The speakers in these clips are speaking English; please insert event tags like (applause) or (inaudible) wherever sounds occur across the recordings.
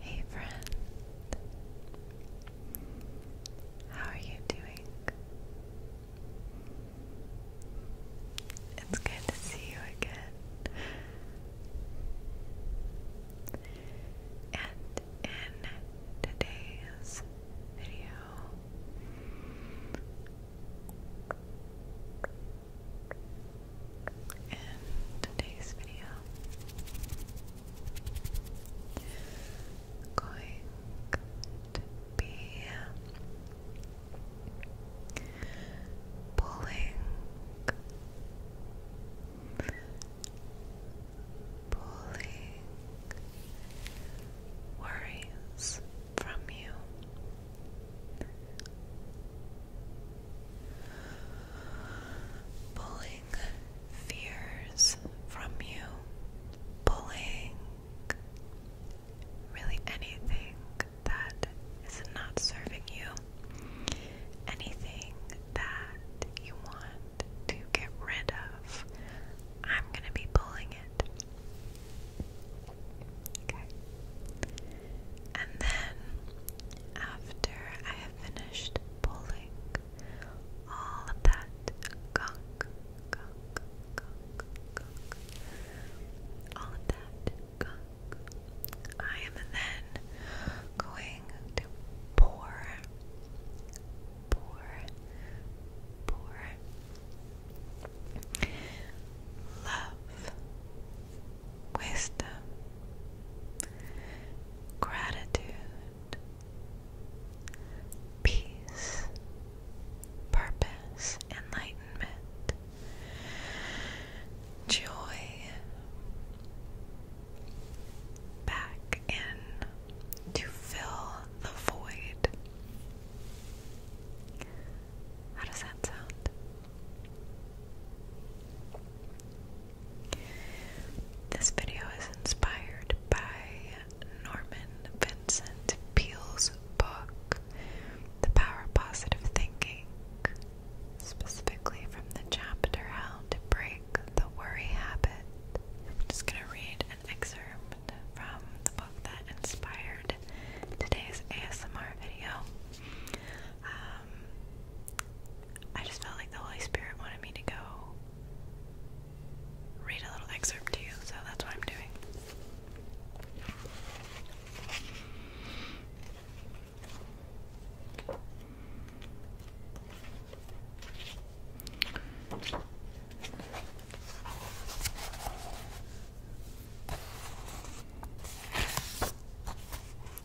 Hey friend, how are you doing? It's good to see you again. And in today's video, in today's video. Going to be pulling, pulling worries from you. Pulling fears from you, pulling really anything that is not serving you, anything that you want to get rid of. I'm going to be pulling it. Okay. And then after I have finished pulling all that gunk, gunk, gunk, gunk, all that gunk, I am then going to pour, pour, pour love wisdom, gratitude, peace, purpose, enlightenment, joy. Back in to fill the void. How does that sound? This video is inspired by Norman Vincent Peale's book, The Power of Positive Thinking, specifically from the chapter How to Break the Worry Habit. I'm just going to read an excerpt from the book that inspired today's ASMR video. Um, I just felt like the Holy Spirit wanted me to go read a little excerpt to you, so that's what I'm doing.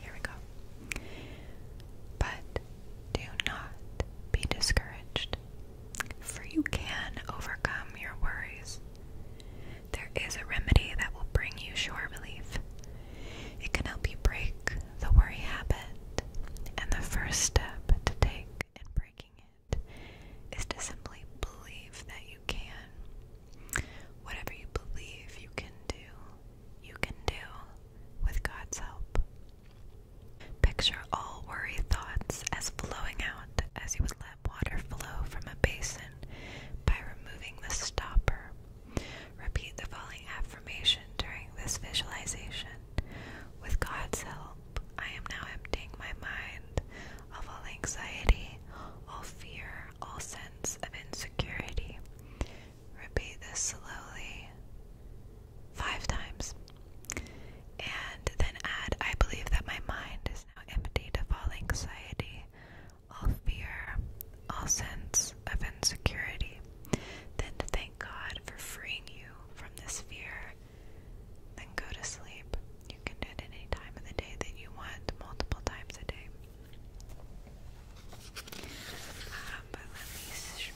Here we go. But do not be discouraged, for you can overcome your worries. There is a remedy that will bring you sure relief. It can help you break the worry habit and the first step to take in breaking it is to simply believe that you can. Whatever you believe you can do, you can do with God's help. Picture all worry thoughts as flowing out as you would let water flow from a basin by removing the stopper. Repeat the following affirmation during this visualization with God's help, I am now emptying my mind of all anxiety, all fear, all sense of insecurity. Repeat this slowly five times. And then add, I believe that my mind is now emptied of all anxiety, all fear, all sense of insecurity. Then to thank God for freeing you from this fear. Then go to sleep. You can do it any time of the day that you want, multiple times a day. Um, but let me.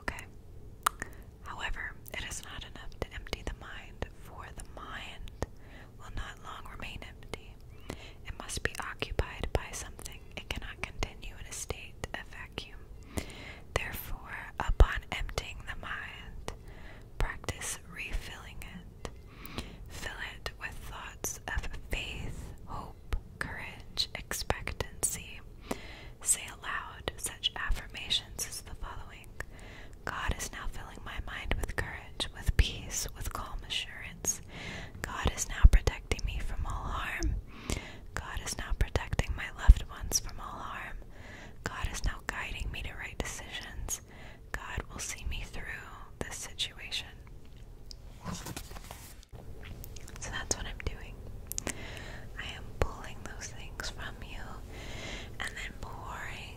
Okay. However, it is not enough to empty the mind, for the mind will not long remain empty. It must be occupied by something. It cannot continue in a state of vacuum. Therefore, upon emptying the mind, practice refilling it. Fill it with thoughts of faith, hope, courage, expectancy. Say aloud such affirmations as the following God is now filling my mind with courage, with peace, with calm assurance. God is now protecting me from all harm. God is now protecting my loved ones from all harm. God is now guiding me to right decisions. God will see me through this situation. So that's what I'm doing. I am pulling those things from you and then pouring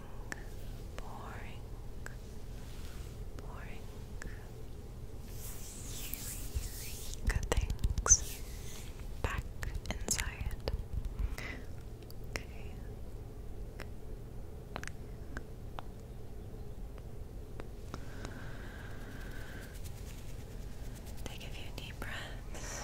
pouring, pouring, good things back inside. Take a few deep breaths.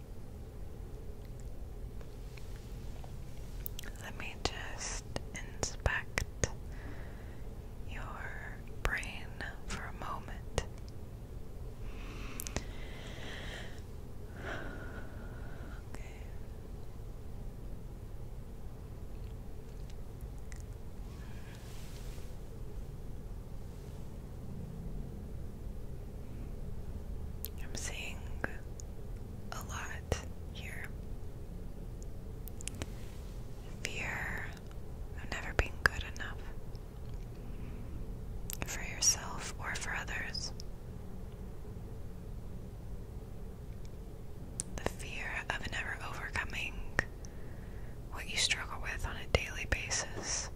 Let me just inspect your brain for a moment. I'm seeing a lot here. Fear of never being good enough for yourself or for others. The fear of never overcoming what you struggle with on a daily basis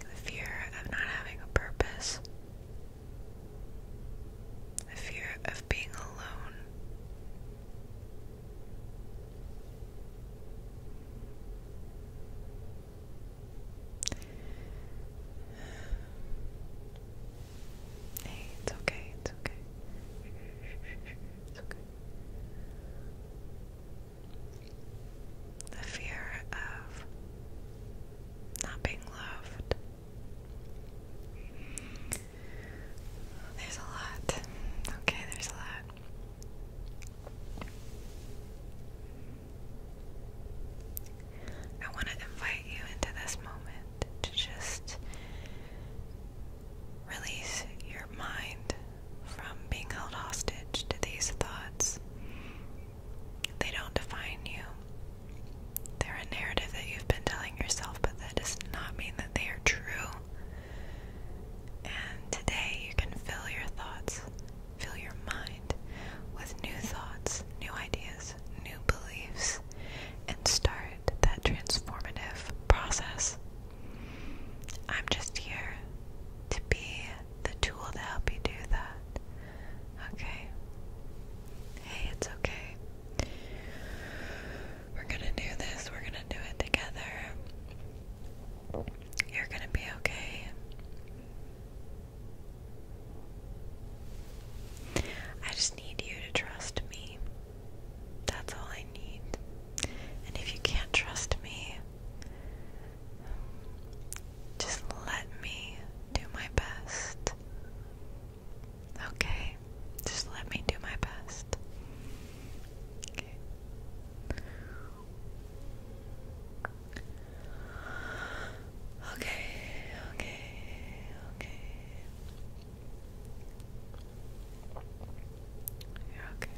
the fear of not having a purpose. The fear of being alone. Hey, it's okay, it's okay. It's okay. The fear of not being loved. There's a lot. Okay, there's a lot. I want to invite you into this moment to just release your mind from being held hostage to these thoughts. They don't define you. They're a narrative that you've been telling yourself, but that does not mean that they are true. And today you can fill your thoughts, fill your mind with new thoughts, new ideas new beliefs, and start that transformative process. I'm just here to be the tool to help you do that. Okay? Hey, it's okay. We're gonna do this, we're gonna do it together. You're gonna be okay. I just need you to trust me. That's all I need. And if you can't trust me, just let me do my best. Okay? Just let me do my best. Okay. Okay, okay, you okay.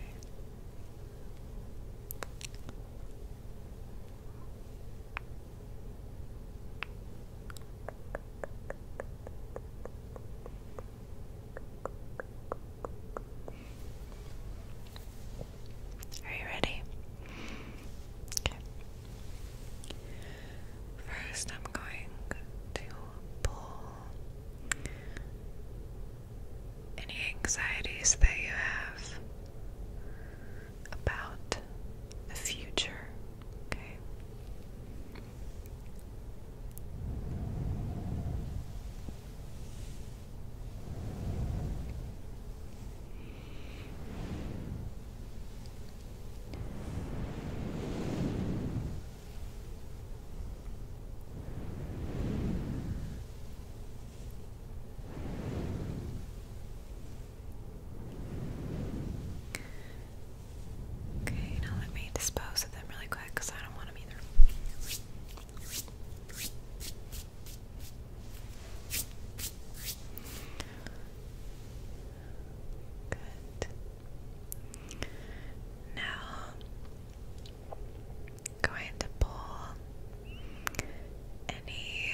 Are you ready? Okay. First, I'm going to any anxieties that you have about the future, okay? Okay, now let me dispose of them really quick because I don't want them either. Good. Now, going to pull any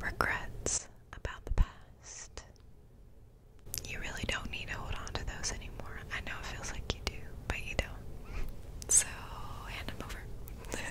regrets about the past. You really don't need to hold on to those anymore. I know it feels like you do, but you don't. So, hand them over. (laughs)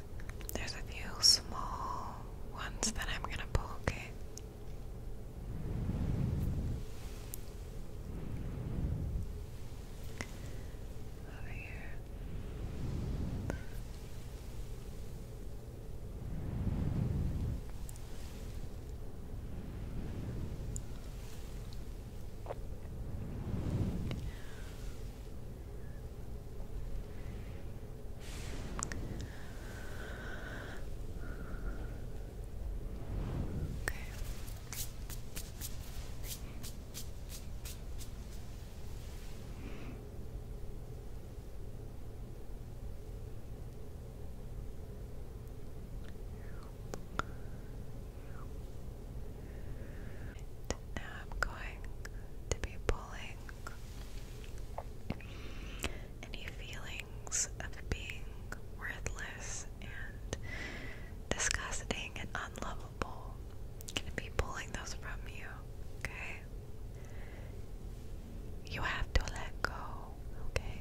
There's a few small ones that I'm gonna poke. okay? Over here. Okay. And now I'm going to be pulling any feelings of being worthless and disgusting and unlovable, gonna be pulling those from you, okay? You have to let go, okay?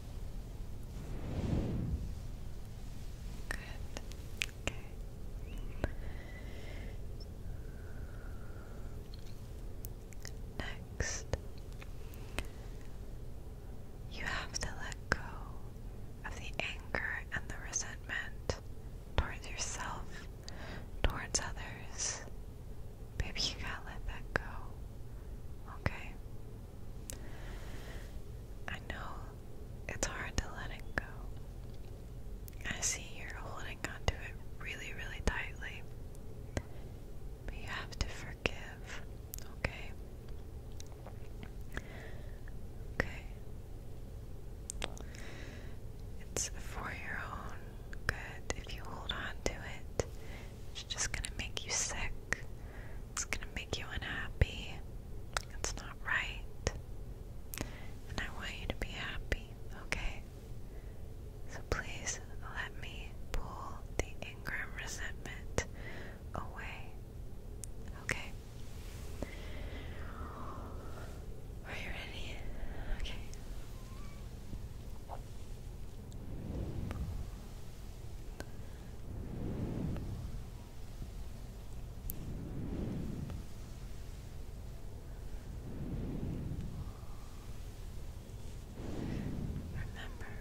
Next, you have to let go of the anger and the resentment towards yourself, towards others. Baby, you gotta let that go. Okay? I know it's hard to let it go. I see you're holding on it really, really tightly. you have to forgive, okay? Okay. It's for your own good. If you hold on to it, it's just gonna make you sick. It's gonna make you unhappy. It's not right. And I want you to be happy, okay? So please let me pull the anger resentment away. Okay? Are you ready? Okay. Remember,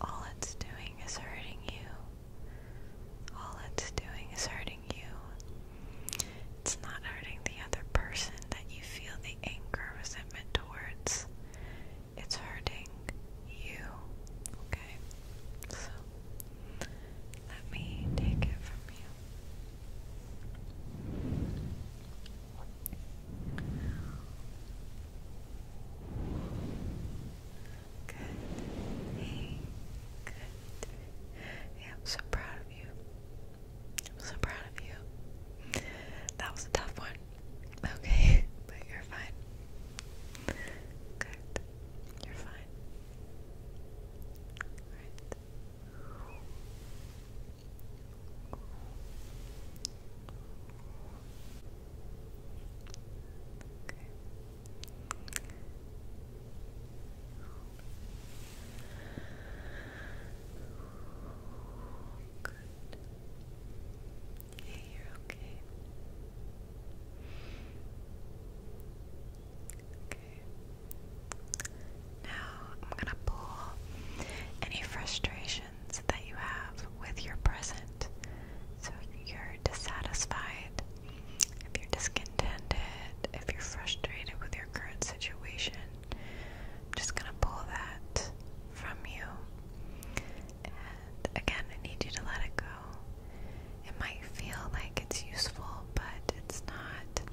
all it's doing is hurting you. All it's doing is hurting you. It's not hurting the other person that you feel the anger, resentment towards it's hurting you. Okay? So, let me take it from you. Good. Hey, good. Yeah, I'm so proud of you. I'm so proud of you. That was a tough one. Okay, (laughs) but you're fine. Good. You're fine. All right. Okay. Good. Yeah, you're okay. Okay. Now I'm gonna pull any frustrations that you have with your present. So you're dissatisfied, if you're discontented, if you're frustrated with your current situation, I'm just gonna pull that from you again, I need you to let it go. It might feel like it's useful, but it's not.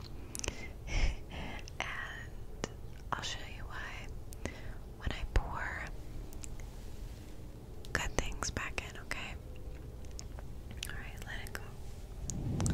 (laughs) and I'll show you why. When I pour good things back in, okay? Alright, let it go.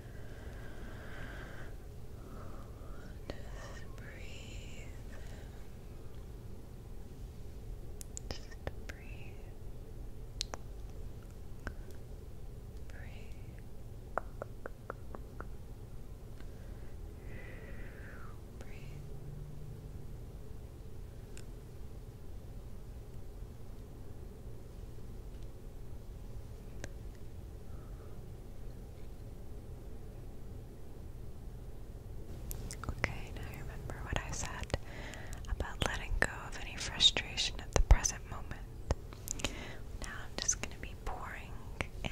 Just breathe. Just breathe. Breathe. Breathe. Okay, now remember what I said about letting go of any frustration at the present moment. Now I'm just going to be pouring in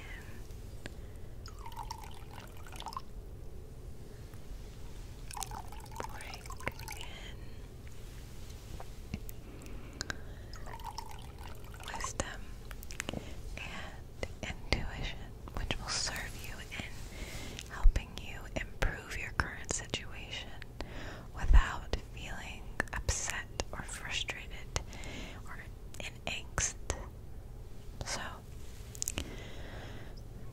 pouring in wisdom, and intuition, which will serve you in helping you improve your current situation without feeling upset or frustrated or in angst. So,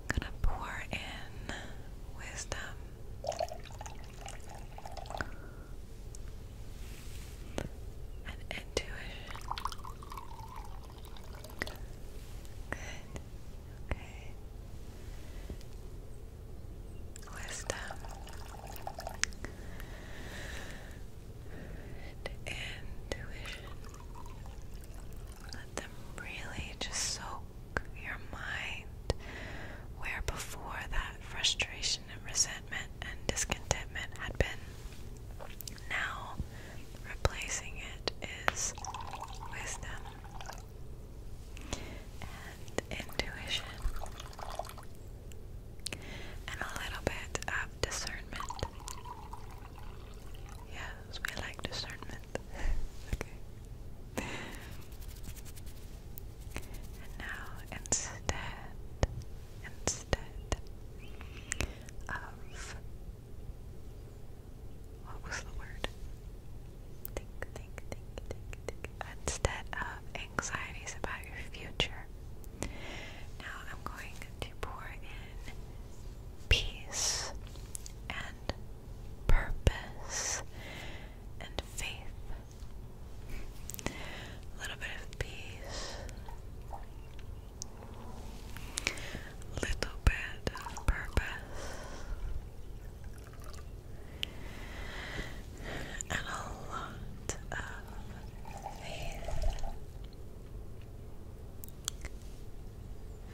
gonna pour in wisdom and intuition. Good. Okay. Wisdom and intuition. Let them really just soak your mind where before that frustration and resentment and discontentment had been. Now, replacing it is wisdom and intuition and a little bit of discernment. Yes, we like discernment. (laughs) okay. And now, instead instead of what was the word? Think, think, think, think, think. Instead of anxieties about your future. Now I'm going to pour in peace and purpose and faith a little bit of peace, a little bit purpose, and a lot of faith.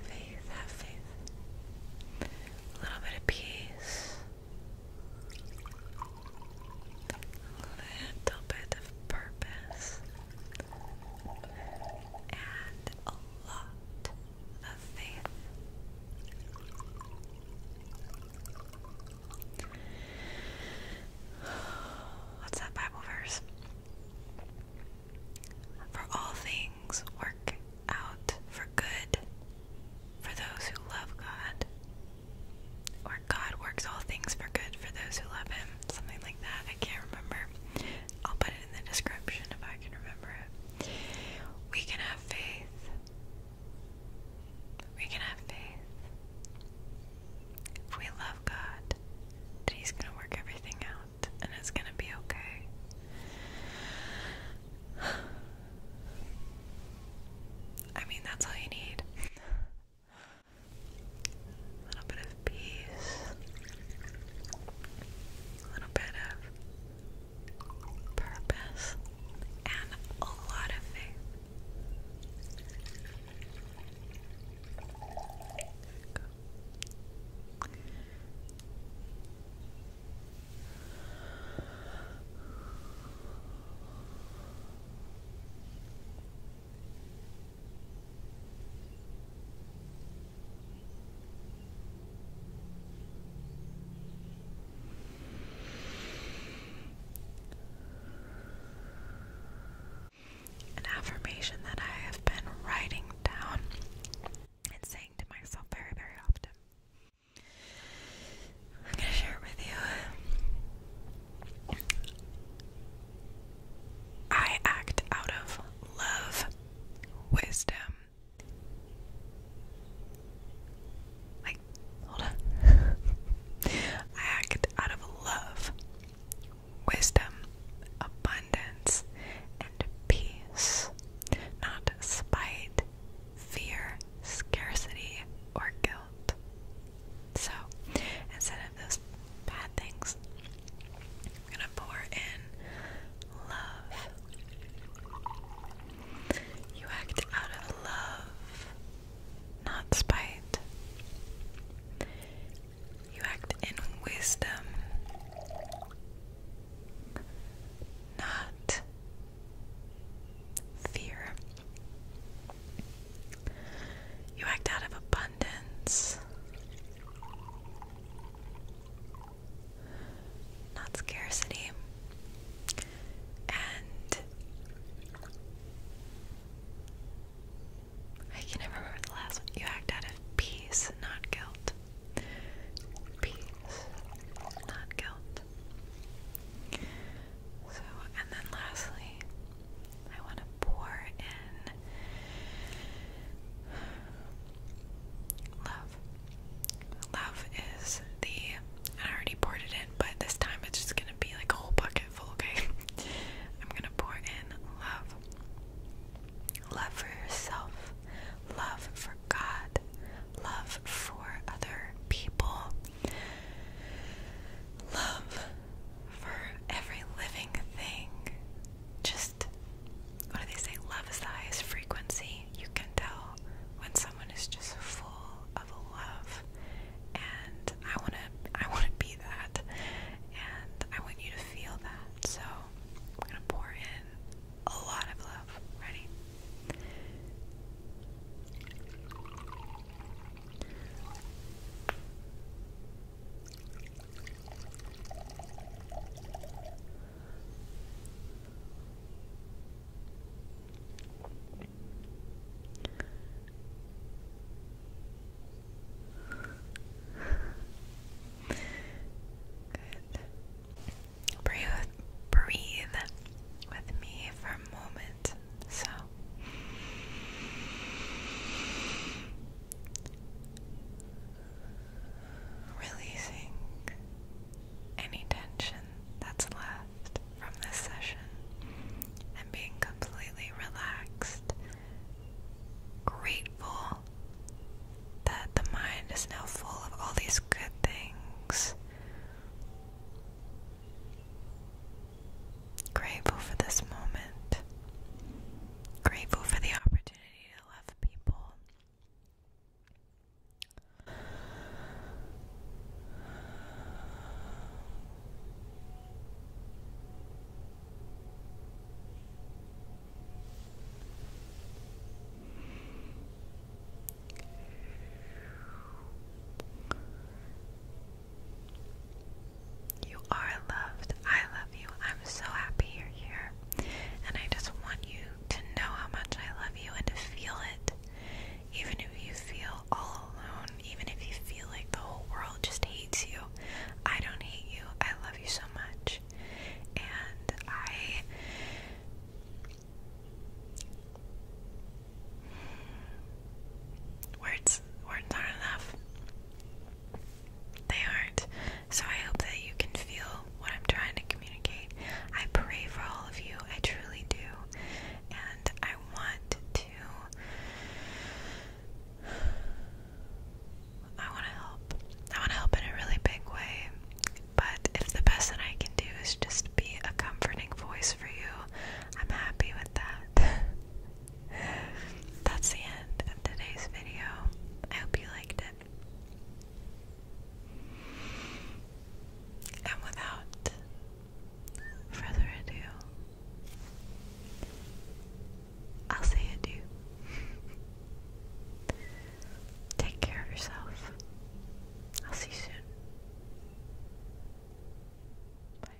Faith, have faith. A little bit of peace little bit of purpose and a lot of faith. What's that Bible verse? For all things work out for good for those who love God or God works all things for good for those who love Him. Something like that. I can't remember. I'll put it in the description if I can remember it. We can have faith. We can have faith. If we love God, that He's going to work everything out and it's going to be okay. (sighs) I mean, that's all you need a little bit of peace, a little bit of purpose, and a lot of faith. An affirmation that I have been writing down and saying to myself very, very often. I'm going to share it with you. I act out of love, wisdom. Like, hold on. (laughs) I act out of love, wisdom, abundance, and peace, not spite, fear, scarcity, or guilt. So instead of those bad things, I'm gonna pour in love. You act out of love, not spite. You act in wisdom, not fear. You act out of abundance. Not scarcity. And I can never remember the last one. You act out of peace, not guilt. Peace, not guilt. So, and then lastly, I want to pour in love. Love is the. I already poured it in, but this time it's just gonna be like a whole bucket full, okay? (laughs) I'm gonna pour in love. Love for yourself, love for God, love for other people, love for every living thing. Just what do they say? Love size frequency. You can tell when someone is just full of love, and I wanna, I wanna be that, and I want you to feel that. So I'm gonna pour in a lot of love. Ready? Good. Breathe, breathe with me for a moment. So releasing any tension that's left from this session and being completely relaxed, grateful that the mind is now full of all these good things. Grateful for this moment. Grateful for the opportunity to love people. You are loved. I love you. I'm so happy you're here. And I just want you to know how much I love you and to feel it. Even if you feel all alone, even if you feel like the whole world just hates you, I don't hate you. I love you so much. And I. Words words aren't enough. They aren't. So I hope that you can feel what I'm trying to communicate. I pray for all of you. I truly do. And I want to I want to help. I want to help in a really big way. But if the best that I can do is just be a comforting voice for you, I'm happy with that. (laughs) That's the end of today's video. I hope you liked it. And without further ado, I'll say adieu. Take care of yourself. I'll see you soon. Bye.